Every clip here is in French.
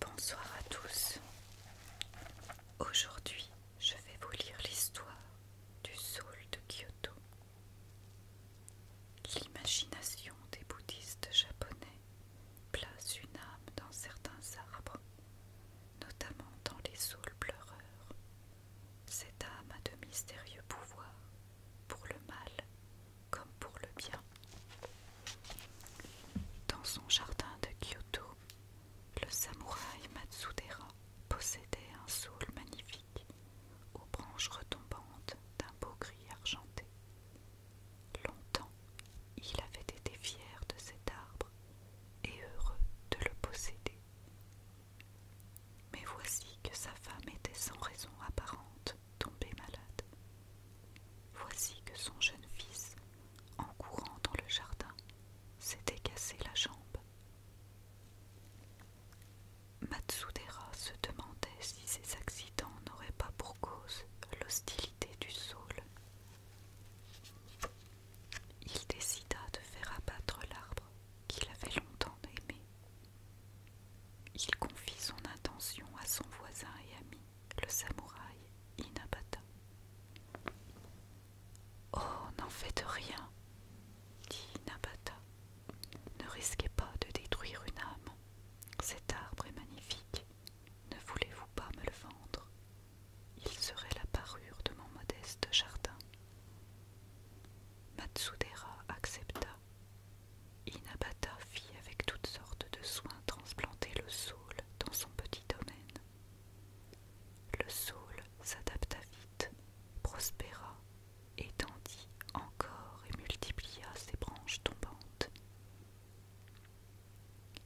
Bonsoir à tous. Aujourd'hui, je vais vous lire l'histoire du saule de Kyoto. L'imagination des bouddhistes japonais place une âme dans certains arbres notamment dans les saules pleureurs, cette âme a de mystérieux pouvoirs, pour le mal comme pour le bien. Dans son jardin de Kyoto, le samouraï Matsudera possédait un saule magnifique aux branches retombantes d'un beau gris argenté. Longtemps, il avait été fier de cet arbre et heureux de le posséder. Mais voici que sa femme était sans raison apparente tombée malade. Voici que son jeune fils, en courant dans le jardin, s'était cassé la jambe. Matsudera se demandait si ces accidents n'auraient pas pour cause l'hostilité du saule il décida de faire abattre l'arbre qu'il avait longtemps aimé. Il confie son intention à son voisin et ami, le samouraï Inabata. Oh, n'en faites rien, dit Inabata. Ne risquez pas de détruire une âme. Cet arbre est magnifique. Ne voulez-vous pas me le vendre Il serait la parure de mon modeste jardin. Matsudera accepta. Inabata fit avec toutes sortes de soins transplanter le saule dans son petit domaine. Le saule s'adapta vite, prospéra, étendit encore et multiplia ses branches tombantes.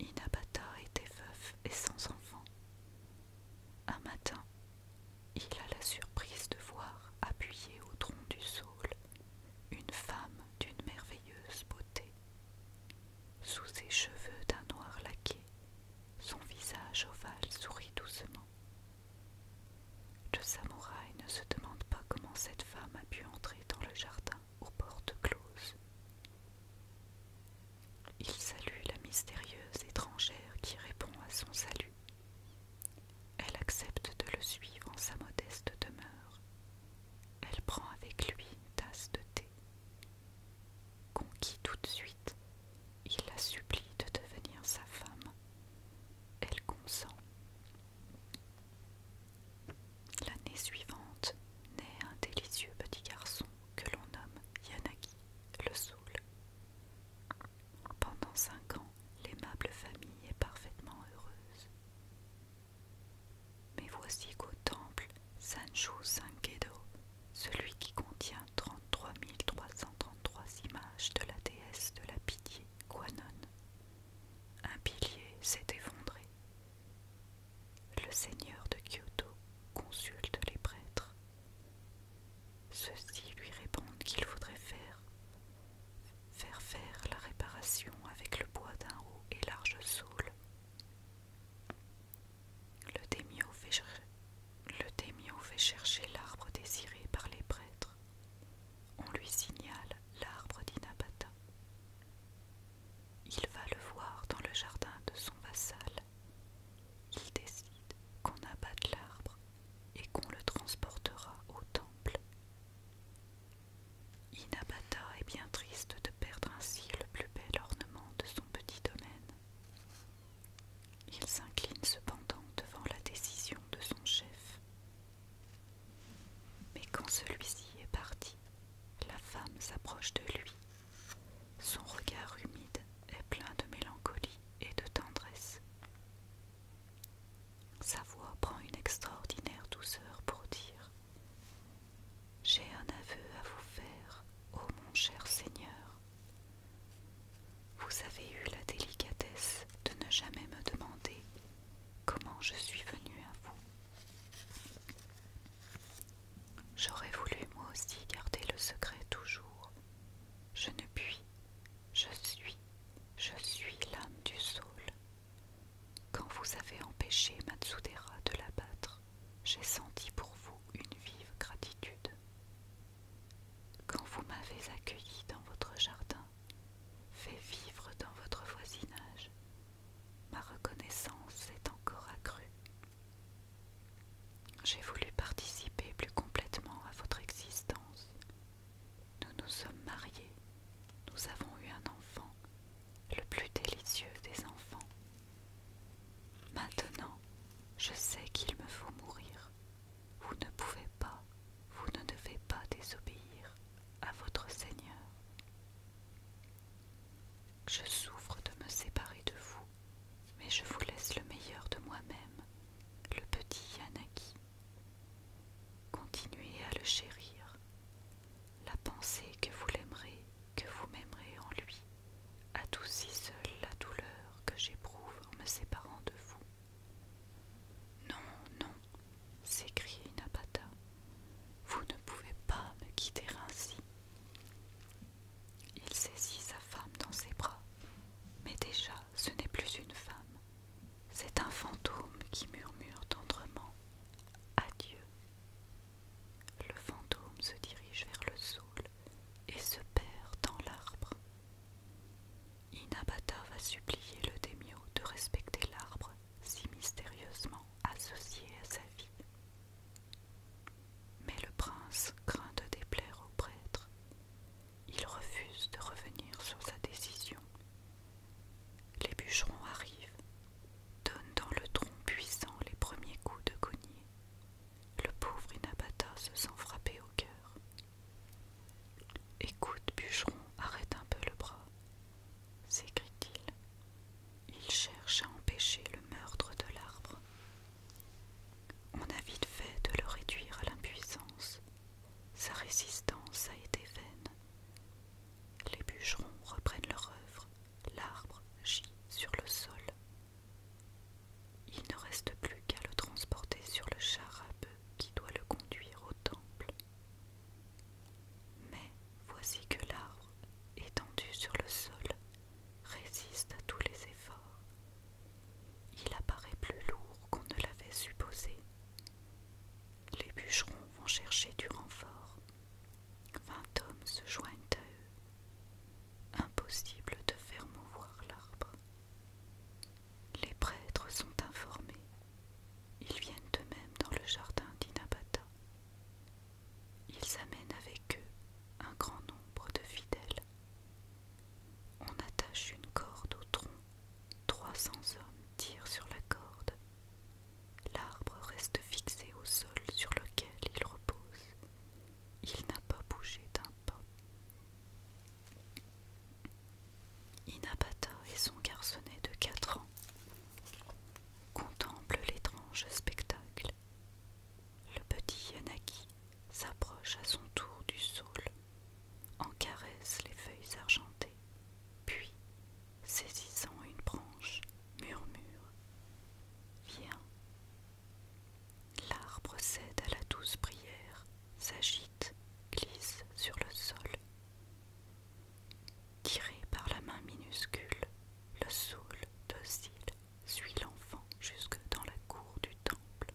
Inabata était veuf et sans enfant. Un matin, il a la surprise de voir appuyée au tronc du saule une femme d'une merveilleuse beauté. Sous ses cheveux d'un noir laqué, son visage ovale sourit doucement. Le samouraï ne se demande pas comment cette femme a pu entrer dans le jardin aux portes closes. Il salue la mystérieuse étrangère qui répond à son salut. Elle accepte de le suivre en sa modeste demeure. Elle prend avec lui une tasse de thé. Conquis tout de suite, il la supplie de devenir sa femme. Elle consent L'année suivante naît un délicieux petit garçon que l'on nomme Yanagi le Soul. Pendant cinq ans, l'aimable famille est parfaitement heureuse. Mais voici qu'au temple Sancho Sankedo, celui qui contient 33 333 images de la déesse de la pitié, Kwanon. Un pilier s'est effondré. Le seigneur de Kyoto consulte les prêtres. Ceux-ci lui répondent qu'il faudrait faire faire faire la réparation avec le bois d'un haut et large saule. Le daimyo fait, fait chercher l'arbre désiré par les prêtres on lui signale l'arbre d'Inabata. Il va le voir dans le jardin de son vassal. Il décide qu'on abatte l'arbre et qu'on le transportera au temple. Inabata est bien triste de perdre ainsi le plus bel ornement de son petit domaine. Il s'incline cependant devant la décision de son chef mais quand celui-ci est parti, la femme s'approche de lui. Son regard humide est plein de mélancolie et de tendresse. Sa voix prend une extraordinaire douceur pour dire J'ai un aveu à vous faire, ô mon cher Seigneur. Vous avez eu la délicatesse de ne jamais me demander comment je suis venue à vous. J'aurais voulu moi aussi garder le secret toujours. Je ne puis, je suis, je suis l'âme du saule. Quand vous avez empêché Matsudera de l'abattre, j'ai senti pour vous une vive gratitude. Quand vous m'avez accueilli dans votre jardin, fait vivre dans votre voisinage, ma reconnaissance est encore accrue. J'ai voulu participer plus complètement à votre existence. Nous nous sommes mariés, nous avons eu un enfant, le plus délicieux des enfants. Maintenant, je sais qu'il me faut mourir vous ne pouvez pas, vous ne devez pas désobéir à votre Seigneur. Je souffre de me séparer de vous, mais je vous laisse le meilleur de moi-même, le petit Yanaki. Continuez à le chérir. La pensée que vous l'aimerez, que vous m'aimerez en lui, si seule la douleur que j'éprouve en me séparant de vous. Non, non, s'écria Inapata vous ne pouvez pas me quitter ainsi. Il saisit sa femme dans ses bras, mais déjà ce n'est plus une femme, c'est un fantôme qui murmure tendrement Adieu. Le fantôme se dirige vers le saule et se perd dans l'arbre. Inabata va supplier le démio de respecter l'arbre si mystérieusement associé à sa vie. Mais le prince craint de déplaire au prêtre. Il refuse de revenir sur sa décision. Les bûcherons arrivent, donnent dans le tronc puissant les premiers coups de cognée. Le pauvre Inabata se sent frappé au cœur. Écoute, bûcheron, arrête un peu le bras, s'écrie-t-il. Il cherche à empêcher le meurtre de l'arbre. On a vite fait de le réduire à l'impuissance. Sa résistance a été vaine. Les bûcherons reprennent leur œuvre. L'arbre gît sur le sol, il ne reste plus qu'à le transporter sur le char à bœuf qui doit le conduire au temple. Mais voici que l'arbre, étendu sur le sol, résiste à tous les efforts. Il apparaît plus lourd qu'on ne l'avait supposé. Les bûcherons vont chercher du renfort. Vingt hommes se joignent à eux. Impossible de faire mouvoir l'arbre. Les prêtres sont informés. Ils viennent eux-mêmes dans le jardin d'Inabata. Ils amènent avec eux un grand nombre de fidèles. On attache une corde au tronc. Trois cents hommes tirent sur la corde. L'arbre reste fixé au sol sur lequel il repose. Il n'a pas bougé d'un pas. Inabata et son garçonnet de quatre ans contemplent l'étrange spectacle. Le petit Yanaki s'approche à son tour du saule, en caresse les feuilles argentées, puis saisissant une branche, murmure Viens. L'arbre cède à la douce prière, s'agite, glisse sur le sol. Tiré par la main minuscule, le saule docile suit l'enfant jusque dans la cour du temple.